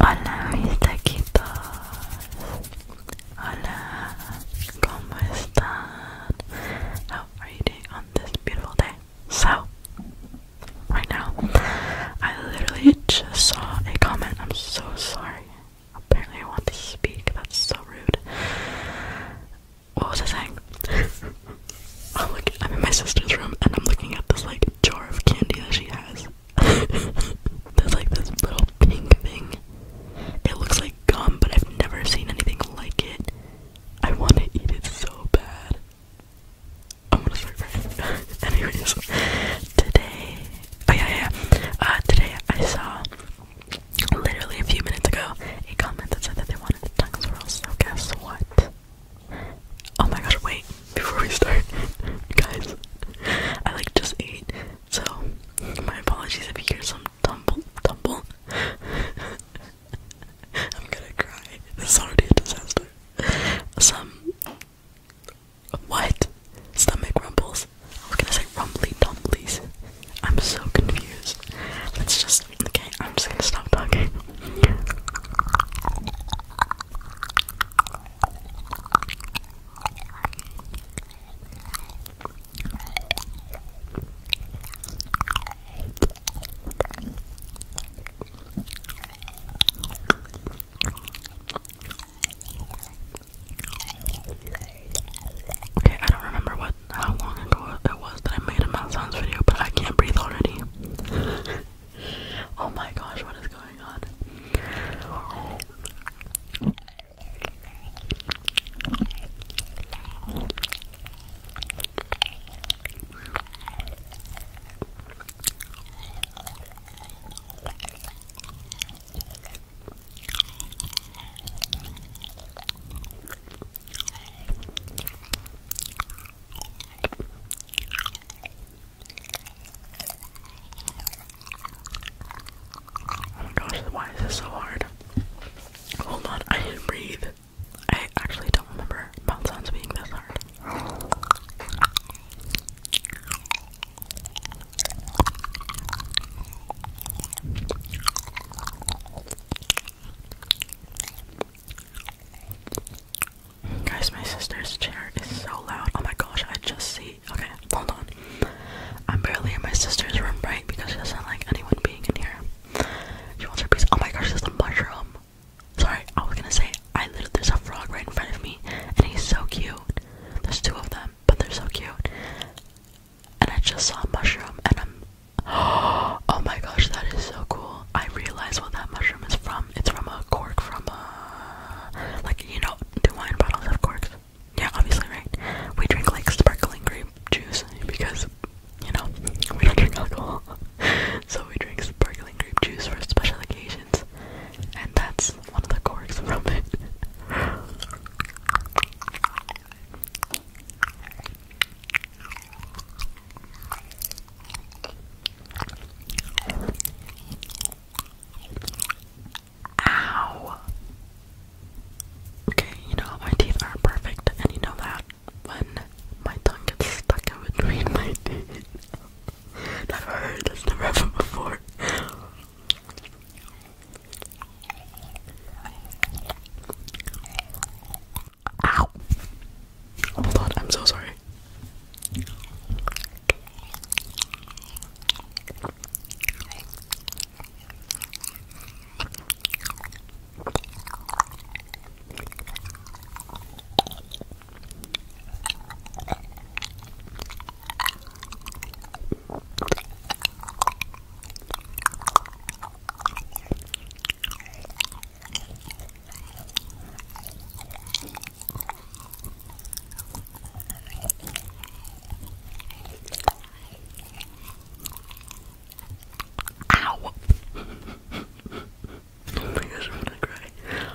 Hola mis taquitos, hola, How are you doing on this beautiful day? So, right now, I literally just saw a comment, I'm so sorry, apparently I want to speak, that's so rude what was I saying? I'm like I'm in my sister's room and I'm looking at this like jar of candy that she has. There's like this little pink thing. It looks like gum, but I've never seen anything like it. I want to eat it so bad. I'm gonna start crying. Anyways, today, oh yeah, yeah, Uh, today I saw literally a few minutes ago a comment that said that they wanted the tongue swirls. So guess what? Oh my gosh, wait, before we start, guys, I like just ate, so my apologies if you hear some tumble, tumble. I'm gonna cry. This is already a disaster. Some. What? Stomach rumbles. I was gonna say rumbly dumblies. I'm so confused. Let's just okay, I'm just gonna stop talking. Okay, I don't remember what how long ago it was that I made a mouth sounds video, but I can't breathe already. oh my gosh, what is going on? Oh my gosh, why is this so hard? Hold on, I didn't breathe. I actually don't remember mouth sounds being this hard. Guys, my sister's chair is so loud. Oh my gosh, I just see. Okay, hold on. I'm barely in my sister's room, right? Because she doesn't like anyone being in here. She wants her piece. Oh my gosh, there's a mushroom. Sorry, I was gonna say, I literally, there's a frog right in front of me, and he's so cute. There's two of them, but they're so cute and I just saw a mushroom and I'm oh my gosh that is so cool. I realize what that mushroom is from. It's from a cork from a uh, like you know, do wine bottles have corks? Yeah, obviously right. We drink like sparkling grape juice because you know, we don't drink alcohol. so we drink sparkling grape juice for special occasions. And that's one of the corks from it. Ow! Okay, you know my teeth aren't perfect, and you know that when my tongue gets stuck in between my teeth. never heard this, never happened before. Ow! Oh my I'm so sorry. Ow! oh my gosh, I'm gonna cry.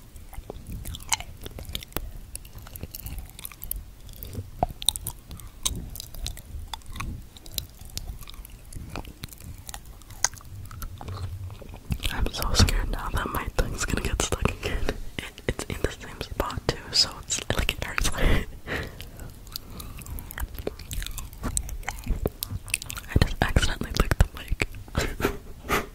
I'm so scared now that my tongue's gonna get stuck again. it's in the same spot too, so it's like it hurts. I just accidentally licked the mic.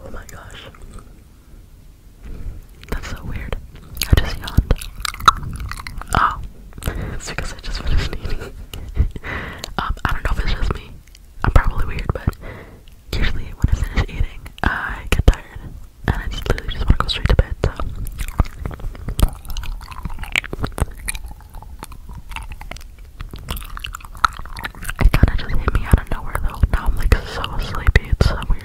Oh my gosh. That's so weird. I just yawned. Oh it's because I just finished eating. um, I don't know if it's just me. I'm probably weird, but usually when I finish eating, I get tired, and I just literally just want to go straight to bed. So. It kind of just hit me out of nowhere, though. Now I'm like so sleepy. It's so weird.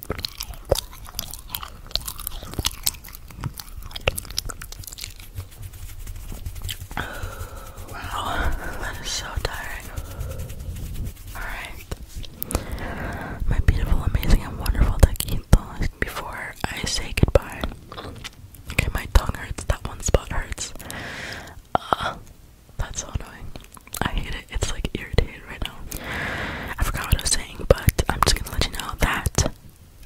Wow, that is so tiring. Alright. My beautiful, amazing, and wonderful taquitos. Before I say goodbye, okay, my tongue hurts, that one spot hurts. Uh, that's so annoying. I hate it. It's like irritated right now. I forgot what I was saying, but I'm just gonna let you know that.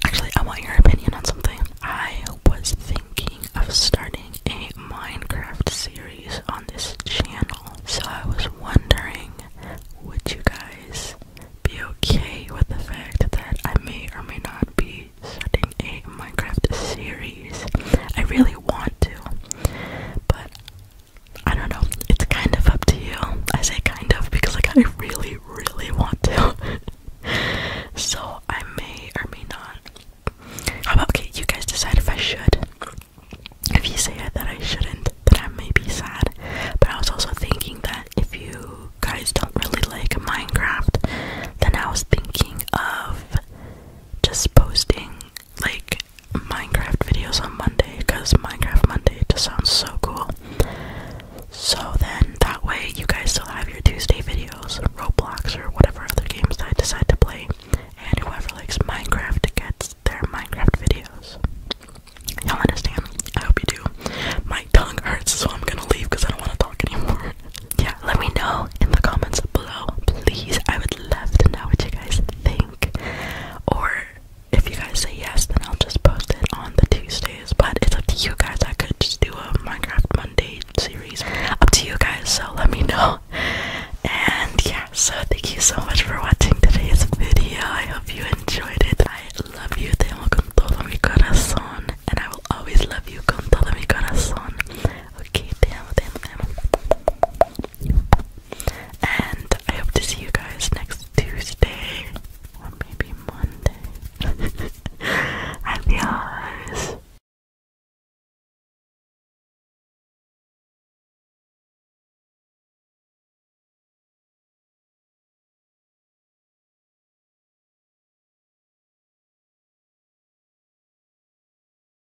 Actually, I want your opinion on something. I was thinking of starting a Minecraft series on this channel, so I was wondering would you guys be okay with the fact that I may or may not be starting a Minecraft series? I really want to, but I don't know. It's kind of up to you. I say kind of because like I really, really want to. so I may or may not. How about okay, you guys decide if I should. If you say that I shouldn't, then I may be sad. But I was also thinking that if you guys don't really like Minecraft, then I was thinking of just posting like Minecraft videos on Monday because Minecraft Monday just sounds so cool. So then that way you guys still have your Tuesday videos, Roblox, or whatever other games I decide to play, and whoever likes Minecraft gets their Minecraft videos. Y'all understand? I hope you do. My tongue hurts, so I'm gonna leave because I don't want to talk anymore. yeah, let me know in the comments below, please. I would love to know what you guys think. Or if you guys say yes, then I'll just post it on the Tuesdays. But it's up to you guys. I could just do a Minecraft Monday series. Up to you guys, so let me know. And yeah, so thank you so much for watching today's video. I hope you enjoyed it. I love you. Te amo con todo mi corazón. And I will always love you con todo mi corazón. Okay, te amo, te amo, te amo. And I hope to see you guys next Tuesday or maybe Monday. Happy hours.